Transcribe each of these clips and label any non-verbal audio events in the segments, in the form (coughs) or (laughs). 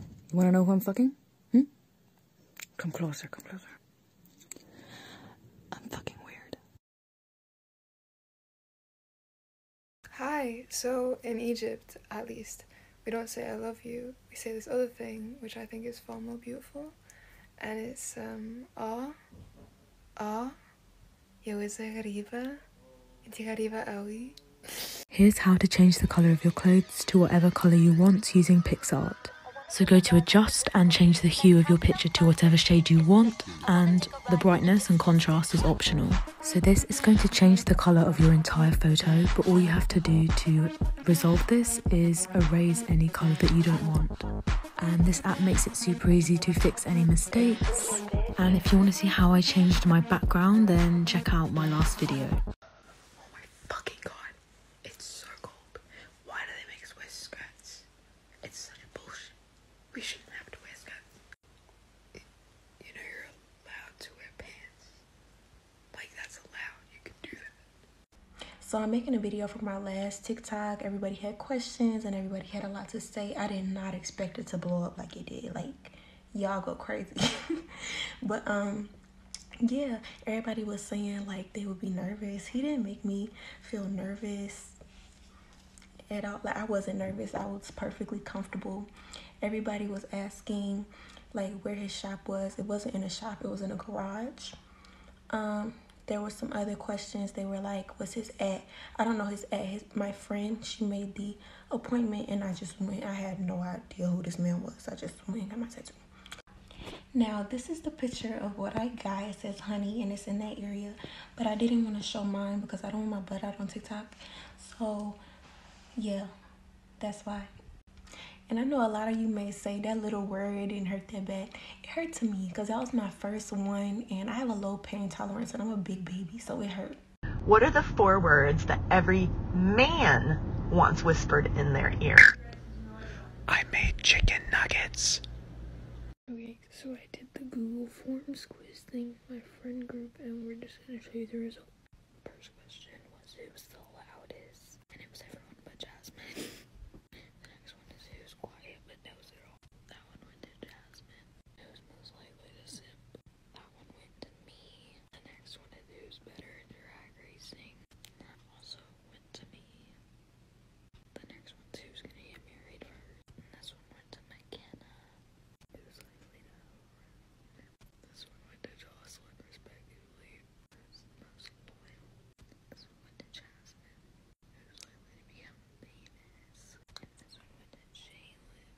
You wanna know who I'm fucking? Hmm? Come closer, come closer. I'm fucking weird. Hi, so in Egypt, at least, we don't say I love you, we say this other thing, which I think is far more beautiful, and it's um, ah, ah, yo is a Here's how to change the color of your clothes to whatever color you want using PixArt. So go to adjust and change the hue of your picture to whatever shade you want and the brightness and contrast is optional. So this is going to change the color of your entire photo but all you have to do to resolve this is erase any color that you don't want. And this app makes it super easy to fix any mistakes and if you want to see how I changed my background, then check out my last video. Oh my fucking god, it's so cold. Why do they make us wear skirts? It's such bullshit. We shouldn't have to wear skirts. You know, you're allowed to wear pants. Like, that's allowed. You can do that. So I'm making a video for my last TikTok. Everybody had questions and everybody had a lot to say. I did not expect it to blow up like it did. Like, y'all go crazy (laughs) but um yeah everybody was saying like they would be nervous he didn't make me feel nervous at all like i wasn't nervous i was perfectly comfortable everybody was asking like where his shop was it wasn't in a shop it was in a garage um there were some other questions they were like what's his at i don't know his at his my friend, she made the appointment and I just went. I had no idea who this man was. I just went and got my tattoo. Now, this is the picture of what I got. It says honey and it's in that area, but I didn't want to show mine because I don't want my butt out on TikTok. So, yeah, that's why. And I know a lot of you may say that little word didn't hurt that bad. It hurt to me because that was my first one, and I have a low pain tolerance, and I'm a big baby, so it hurt. What are the four words that every man wants whispered in their ear? I made chicken nuggets. Okay, so I did the Google Forms quiz thing with my friend group, and we're just gonna show you the result. First question was who's the loudest, and it was everyone but Jasmine. (laughs) the next one is who's quiet but knows it all. That one went to Jasmine, who's most likely to sip? That one went to me. The next one is who's better at drag racing. That also went to me. The next one one's who's gonna get married first. And this one went to McKenna, who's likely to over. This one went to Jocelyn, Who's most likely? This one went to Jasmine who's likely to become famous. And this one went to Jalen,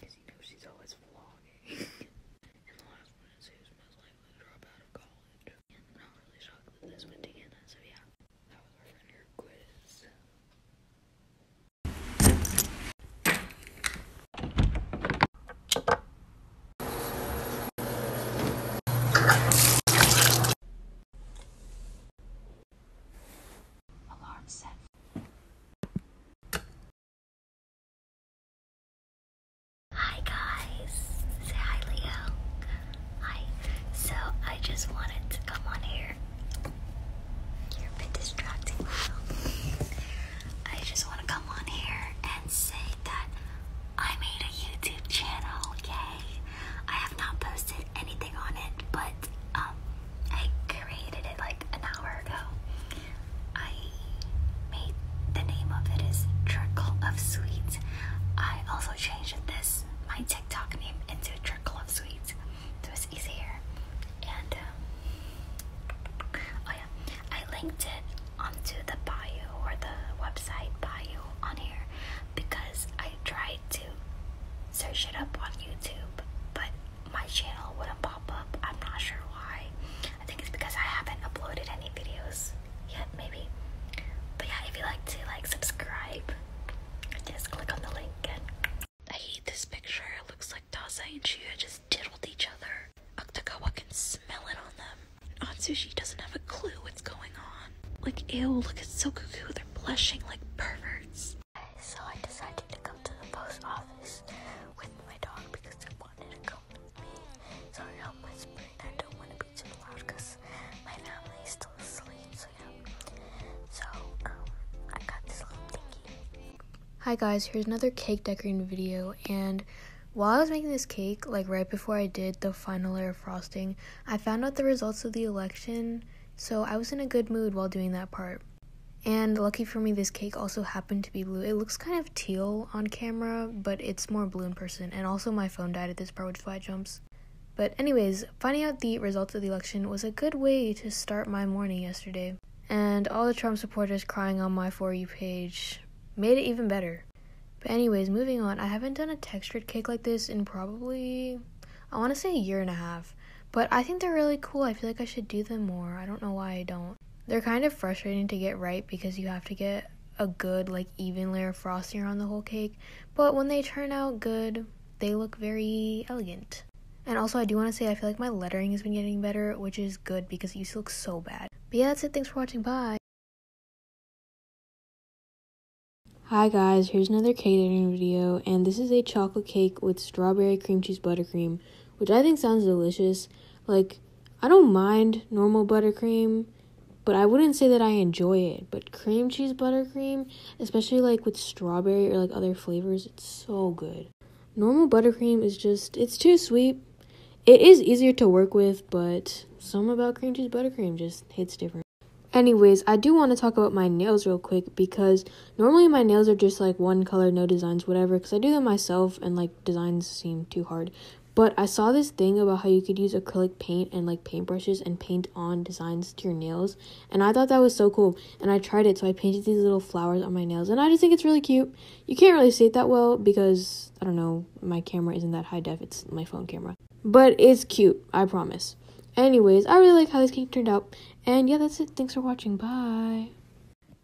because you know she's always vlogging. and the last one is who's most likely to drop out of college. not really shocked that this went to Anna, so yeah, that was our friend who quiz. Alarm set. Hi guys. Say hi Leo. Hi. So I just wanted to come on here. You're a bit distracting. I just want to come on here and say that I made a YouTube channel, yay! I have not posted anything on it, but um, I created it like an hour ago. I made the name of it is Trickle of Sweets. I also changed this my TikTok name into Trickle of Sweets, so it's easier. And um, oh yeah, I linked it onto the bio or the website bio on here because I tried to search it up on YouTube, but my channel wouldn't pop up. I'm not sure why. I think it's because I haven't uploaded any videos yet, maybe. But yeah, if you like to like subscribe, just click on the link. I hate this picture. It looks like Daza and Shuya just diddled each other. Octogawa can smell it on them. Aunt Sushi doesn't have a clue what's going on. Like, ew, look at Sokuku, they're blushing like perverts. So I decided to go to the post office with my dog because I wanted to come with me. Sorry, I'm whispering. I don't want to be too loud because my family is still asleep. So yeah. So um, I got this little thingy. Hi guys, here's another cake decorating video, and while I was making this cake, like right before I did the final layer of frosting, I found out the results of the election, so I was in a good mood while doing that part. And lucky for me, this cake also happened to be blue. It looks kind of teal on camera, but it's more blue in person. And also, my phone died at this part, which is why jumps. But, anyways, finding out the results of the election was a good way to start my morning yesterday. And all the Trump supporters crying on my For You page made it even better. But anyways, moving on. I haven't done a textured cake like this in probably I want to say a year and a half. But I think they're really cool. I feel like I should do them more. I don't know why I don't. They're kind of frustrating to get right because you have to get a good like even layer of frosting around the whole cake, but when they turn out good, they look very elegant. And also, I do want to say I feel like my lettering has been getting better, which is good because it used to look so bad. But yeah, that's it. Thanks for watching. Bye. Hi guys, here's another catering video, and this is a chocolate cake with strawberry cream cheese buttercream, which I think sounds delicious. Like, I don't mind normal buttercream, but I wouldn't say that I enjoy it. But cream cheese buttercream, especially like with strawberry or like other flavors, it's so good. Normal buttercream is just, it's too sweet, it is easier to work with, but some about cream cheese buttercream just hits different. Anyways, I do want to talk about my nails real quick because normally my nails are just like one color, no designs, whatever, because I do them myself and like designs seem too hard. But I saw this thing about how you could use acrylic paint and like paintbrushes and paint on designs to your nails. And I thought that was so cool. And I tried it. So I painted these little flowers on my nails. And I just think it's really cute. You can't really see it that well because, I don't know, my camera isn't that high def, it's my phone camera. But it's cute, I promise. Anyways, I really like how this cake turned out. And yeah, that's it. Thanks for watching. Bye.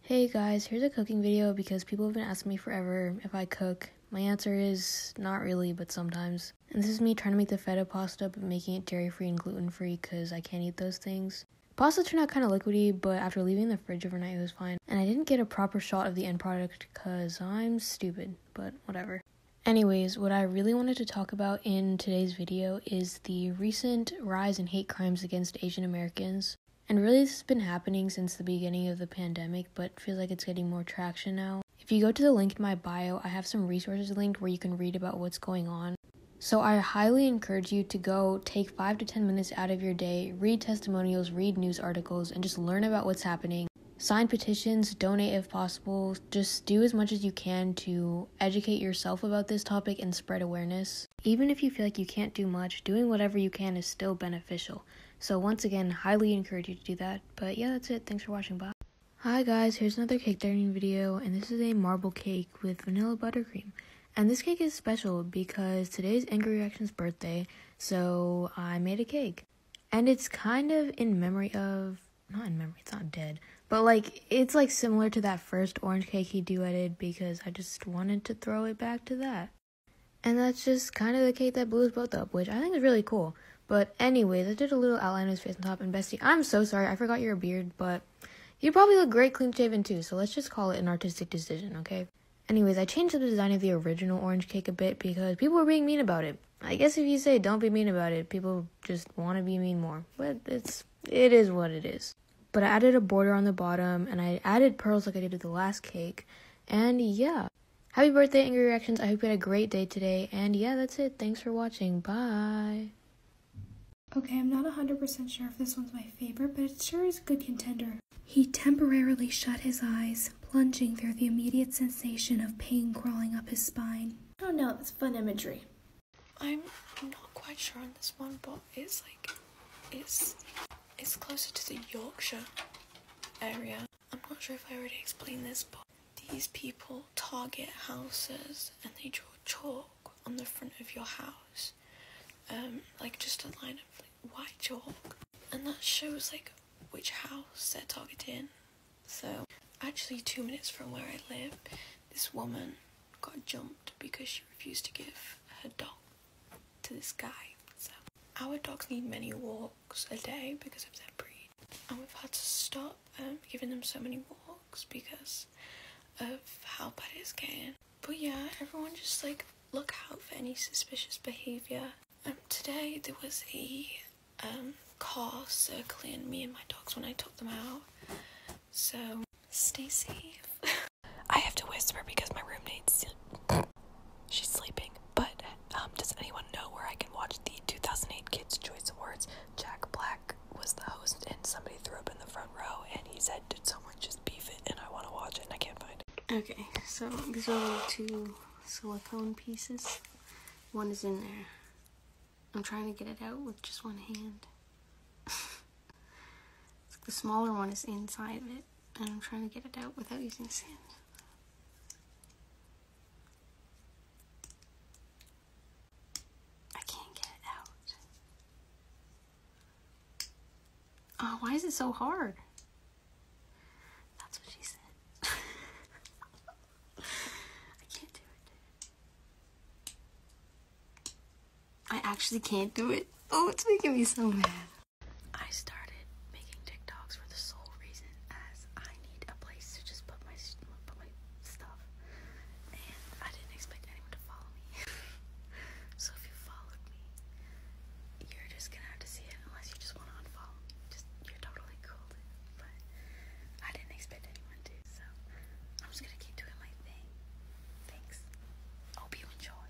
Hey guys, here's a cooking video because people have been asking me forever if I cook. My answer is not really, but sometimes. And this is me trying to make the feta pasta but making it dairy free and gluten free because I can't eat those things. Pasta turned out kind of liquidy, but after leaving the fridge overnight, it was fine. And I didn't get a proper shot of the end product because I'm stupid, but whatever. Anyways, what I really wanted to talk about in today's video is the recent rise in hate crimes against Asian Americans. And really, this has been happening since the beginning of the pandemic, but feels like it's getting more traction now. If you go to the link in my bio, I have some resources linked where you can read about what's going on. So I highly encourage you to go take five to 10 minutes out of your day, read testimonials, read news articles, and just learn about what's happening. Sign petitions, donate if possible. Just do as much as you can to educate yourself about this topic and spread awareness. Even if you feel like you can't do much, doing whatever you can is still beneficial. So, once again, highly encourage you to do that. But yeah, that's it. Thanks for watching. Bye. Hi guys, here's another cake decorating video, and this is a marble cake with vanilla buttercream. And this cake is special because today's Angry Reaction's birthday, so I made a cake. And it's kind of in memory of, not in memory, it's not dead, but like it's like similar to that first orange cake he duetted because I just wanted to throw it back to that. And that's just kind of the cake that blew us both up, which I think is really cool. But anyway, I did a little outline of his face on top. And Bestie, I'm so sorry, I forgot your beard, but You'd probably look great clean shaven too, so let's just call it an artistic decision, okay? Anyways, I changed the design of the original orange cake a bit because people were being mean about it. I guess if you say don't be mean about it, people just want to be mean more. But it's it is what it is. But I added a border on the bottom and I added pearls like I did with the last cake. And yeah. Happy birthday, Angry Reactions. I hope you had a great day today. And yeah, that's it. Thanks for watching. Bye. Okay, I'm not 100% sure if this one's my favorite, but it sure is a good contender. He temporarily shut his eyes, plunging through the immediate sensation of pain crawling up his spine. Oh no, that's fun imagery. I'm not quite sure on this one, but it's like, it's, it's closer to the Yorkshire area. I'm not sure if I already explained this, but these people target houses and they draw chalk on the front of your house, um, like just a line of white chalk, and that shows like which house they're targeting. So, actually, two minutes from where I live, this woman got jumped because she refused to give her dog to this guy. So, our dogs need many walks a day because of their breed, and we've had to stop um, giving them so many walks because of how bad it's getting. But yeah, everyone just like look out for any suspicious behaviour. And um, today there was a um, car circling me and my dogs when I took them out. So stay safe. (laughs) I have to whisper because my roommate's (coughs) she's sleeping. But um, does anyone know where I can watch the 2008 Kids Choice Awards? Jack Black was the host, and somebody threw up in the front row, and he said, "Did someone just beef it?" And I want to watch it, and I can't find it. Okay, so these are two silicone pieces. One is in there. I'm trying to get it out with just one hand. (laughs) the smaller one is inside of it, and I'm trying to get it out without using sand. I can't get it out. Oh, why is it so hard? That's what she said. (laughs) I can't do it. I actually can't do it. Oh, it's making me so mad. I started making TikToks for the sole reason as I need a place to just put my put my stuff, and I didn't expect anyone to follow me. (laughs) so if you followed me, you're just gonna have to see it unless you just want to unfollow me. Just you're totally cool, but I didn't expect anyone to. So I'm just gonna keep doing my thing. Thanks. Hope you enjoy.